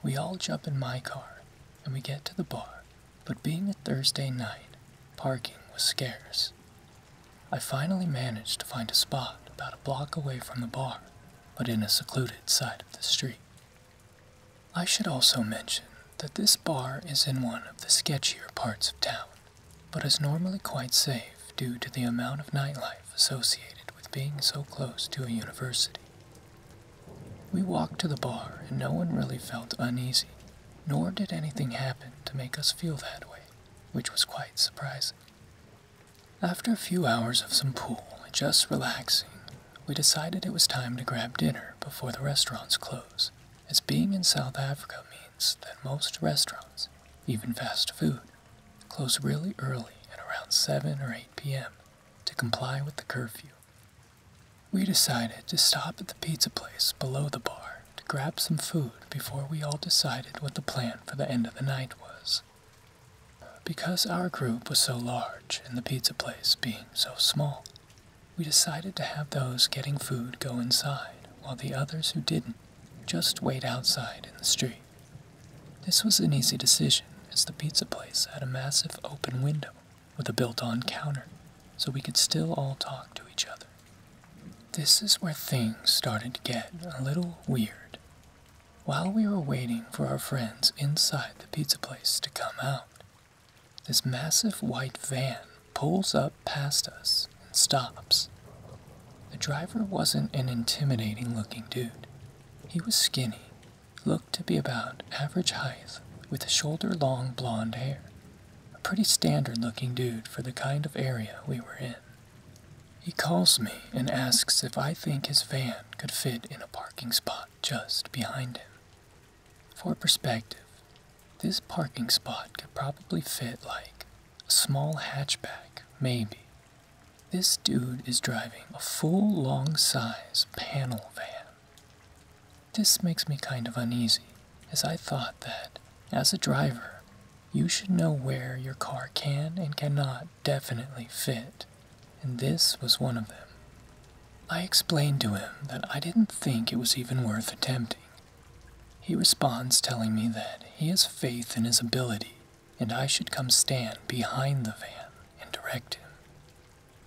We all jump in my car and we get to the bar, but being a Thursday night, parking was scarce. I finally managed to find a spot about a block away from the bar, but in a secluded side of the street. I should also mention that this bar is in one of the sketchier parts of town, but is normally quite safe due to the amount of nightlife associated with being so close to a university. We walked to the bar, and no one really felt uneasy, nor did anything happen to make us feel that way, which was quite surprising. After a few hours of some pool and just relaxing, we decided it was time to grab dinner before the restaurants close, as being in South Africa means that most restaurants, even fast food, close really early at around 7 or 8 p.m to comply with the curfew. We decided to stop at the pizza place below the bar to grab some food before we all decided what the plan for the end of the night was. Because our group was so large and the pizza place being so small, we decided to have those getting food go inside while the others who didn't just wait outside in the street. This was an easy decision, as the pizza place had a massive open window with a built on counter, so we could still all talk to each other. This is where things started to get a little weird. While we were waiting for our friends inside the pizza place to come out, this massive white van pulls up past us and stops. The driver wasn't an intimidating looking dude. He was skinny looked to be about average height with shoulder long blonde hair. A pretty standard looking dude for the kind of area we were in. He calls me and asks if I think his van could fit in a parking spot just behind him. For perspective, this parking spot could probably fit like a small hatchback, maybe, this dude is driving a full long size panel van. This makes me kind of uneasy, as I thought that, as a driver, you should know where your car can and cannot definitely fit, and this was one of them. I explained to him that I didn't think it was even worth attempting. He responds telling me that he has faith in his ability and I should come stand behind the van and direct him.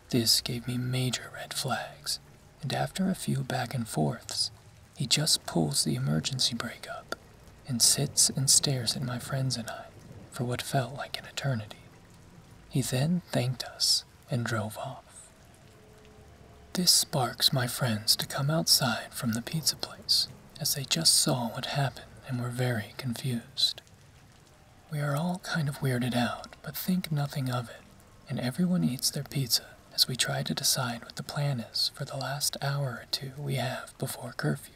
This gave me major red flags, and after a few back and forths, he just pulls the emergency brake up and sits and stares at my friends and I for what felt like an eternity. He then thanked us and drove off. This sparks my friends to come outside from the pizza place, as they just saw what happened and were very confused. We are all kind of weirded out, but think nothing of it, and everyone eats their pizza as we try to decide what the plan is for the last hour or two we have before curfew.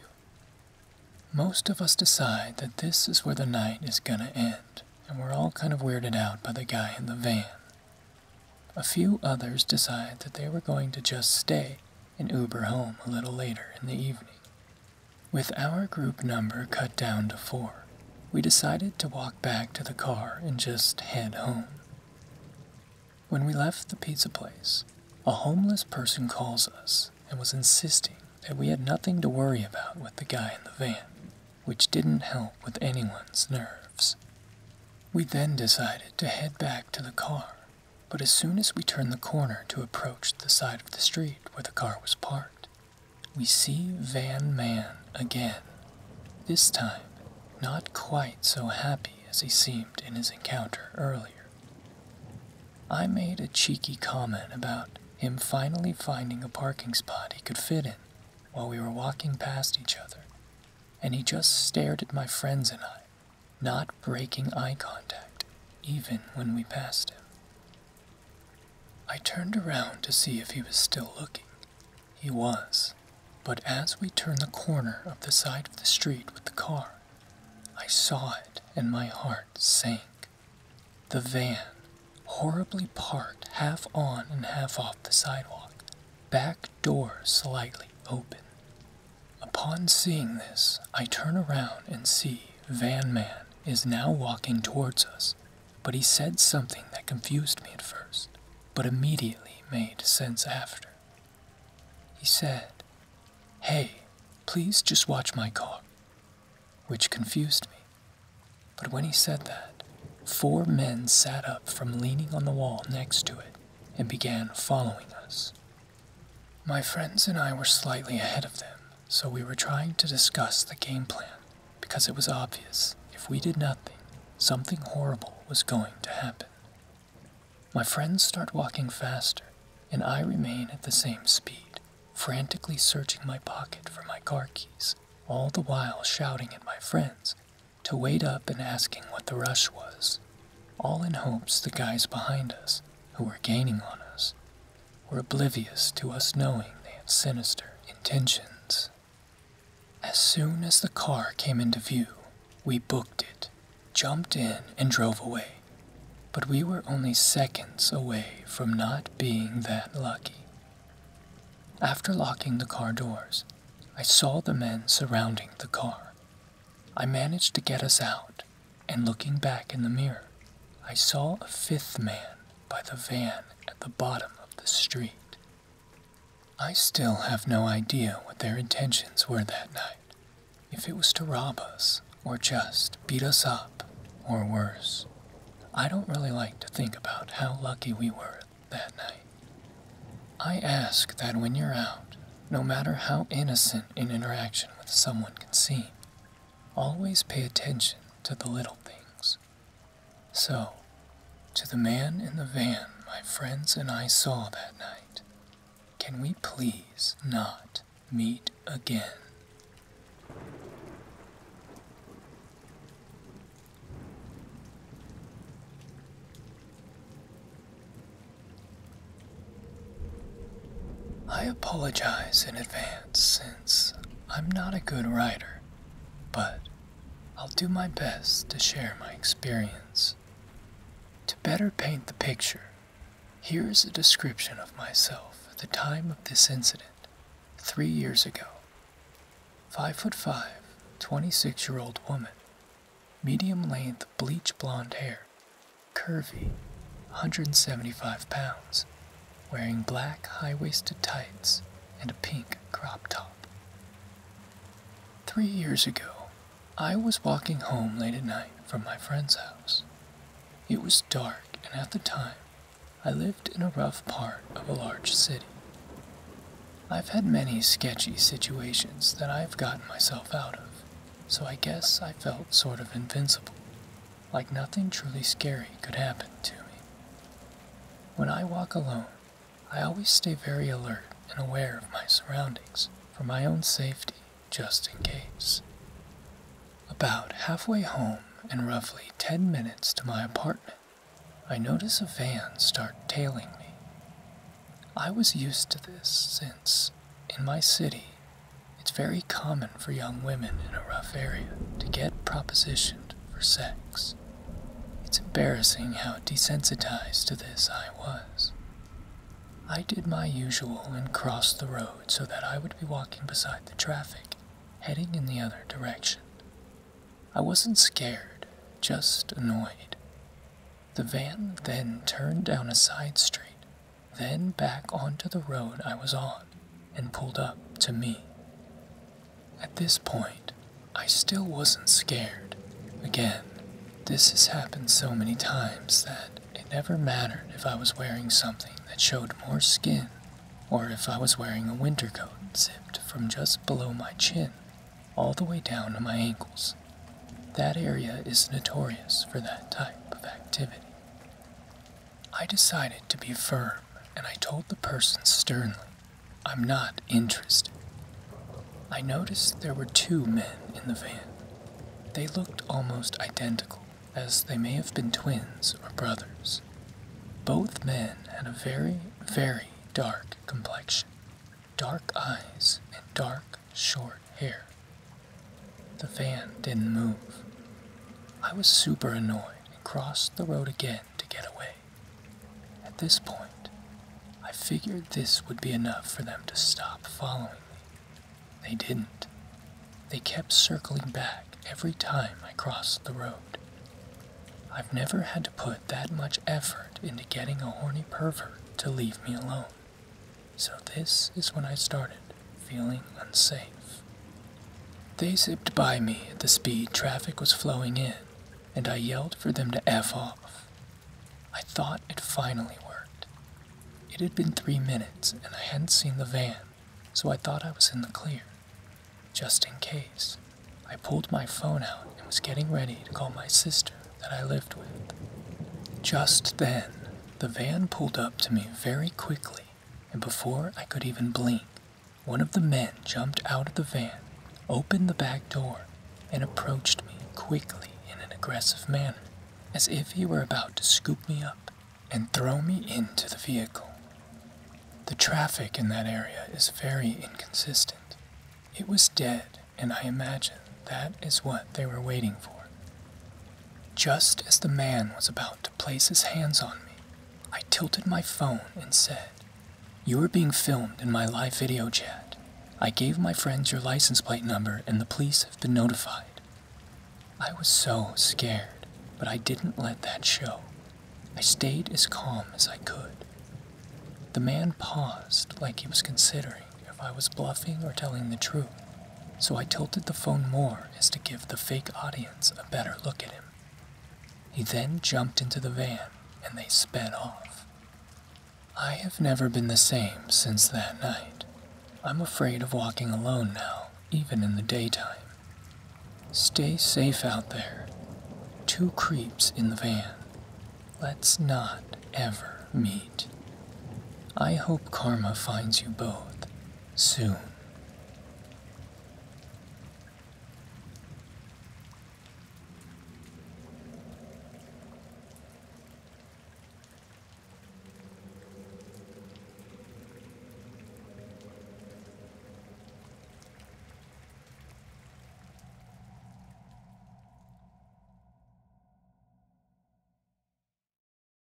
Most of us decide that this is where the night is gonna end, and we're all kind of weirded out by the guy in the van. A few others decide that they were going to just stay and Uber home a little later in the evening. With our group number cut down to four, we decided to walk back to the car and just head home. When we left the pizza place, a homeless person calls us and was insisting that we had nothing to worry about with the guy in the van, which didn't help with anyone's nerves. We then decided to head back to the car but as soon as we turn the corner to approach the side of the street where the car was parked, we see Van Man again. This time, not quite so happy as he seemed in his encounter earlier. I made a cheeky comment about him finally finding a parking spot he could fit in while we were walking past each other, and he just stared at my friends and I not breaking eye contact even when we passed him. I turned around to see if he was still looking. He was, but as we turned the corner of the side of the street with the car, I saw it and my heart sank. The van, horribly parked half on and half off the sidewalk, back door slightly open. Upon seeing this, I turn around and see Van Man is now walking towards us, but he said something that confused me at first, but immediately made sense after. He said, Hey, please just watch my car, which confused me. But when he said that, four men sat up from leaning on the wall next to it and began following us. My friends and I were slightly ahead of them, so we were trying to discuss the game plan because it was obvious if we did nothing, something horrible was going to happen. My friends start walking faster, and I remain at the same speed, frantically searching my pocket for my car keys, all the while shouting at my friends to wait up and asking what the rush was, all in hopes the guys behind us, who were gaining on us, were oblivious to us knowing they had sinister intentions. As soon as the car came into view, we booked it, jumped in, and drove away. But we were only seconds away from not being that lucky. After locking the car doors, I saw the men surrounding the car. I managed to get us out and looking back in the mirror, I saw a fifth man by the van at the bottom of the street. I still have no idea what their intentions were that night, if it was to rob us, or just beat us up, or worse. I don't really like to think about how lucky we were that night. I ask that when you're out, no matter how innocent an interaction with someone can seem, Always pay attention to the little things. So, to the man in the van my friends and I saw that night, can we please not meet again? I apologize in advance since I'm not a good writer, but I'll do my best to share my experience. To better paint the picture, here is a description of myself at the time of this incident, three years ago. Five foot five, twenty-six year old woman, medium length bleach blonde hair, curvy, 175 pounds, wearing black high waisted tights and a pink crop top. Three years ago, I was walking home late at night from my friend's house. It was dark, and at the time, I lived in a rough part of a large city. I've had many sketchy situations that I've gotten myself out of, so I guess I felt sort of invincible like nothing truly scary could happen to me. When I walk alone, I always stay very alert and aware of my surroundings for my own safety, just in case. About halfway home and roughly 10 minutes to my apartment, I notice a van start tailing me. I was used to this since in my city, it's very common for young women in a rough area to get propositioned for sex. It's embarrassing how desensitized to this I was. I did my usual and crossed the road so that I would be walking beside the traffic, heading in the other direction. I wasn't scared, just annoyed. The van then turned down a side street then back onto the road I was on and pulled up to me. At this point, I still wasn't scared. Again, this has happened so many times that it never mattered if I was wearing something that showed more skin or if I was wearing a winter coat zipped from just below my chin all the way down to my ankles. That area is notorious for that type of activity. I decided to be firm and I told the person sternly, I'm not interested. I noticed there were two men in the van. They looked almost identical, as they may have been twins or brothers. Both men had a very, very dark complexion, dark eyes, and dark, short hair. The van didn't move. I was super annoyed and crossed the road again to get away. At this point, I figured this would be enough for them to stop following me. They didn't. They kept circling back every time I crossed the road. I've never had to put that much effort into getting a horny pervert to leave me alone. So, this is when I started feeling unsafe. They zipped by me at the speed traffic was flowing in, and I yelled for them to F off. I thought it finally worked. It had been three minutes, and I hadn't seen the van, so I thought I was in the clear. Just in case, I pulled my phone out and was getting ready to call my sister that I lived with. Just then, the van pulled up to me very quickly and before I could even blink, one of the men jumped out of the van, opened the back door, and approached me quickly in an aggressive manner, as if he were about to scoop me up and throw me into the vehicle. The traffic in that area is very inconsistent. It was dead, and I imagine that is what they were waiting for. Just as the man was about to place his hands on me, I tilted my phone and said, You are being filmed in my live video chat. I gave my friends your license plate number and the police have been notified. I was so scared, but I didn't let that show. I stayed as calm as I could. The man paused like he was considering if I was bluffing or telling the truth so I tilted the phone more as to give the fake audience a better look at him. He then jumped into the van and they sped off. I have never been the same since that night. I'm afraid of walking alone now, even in the daytime. Stay safe out there. Two creeps in the van. Let's not ever meet. I hope karma finds you both, soon.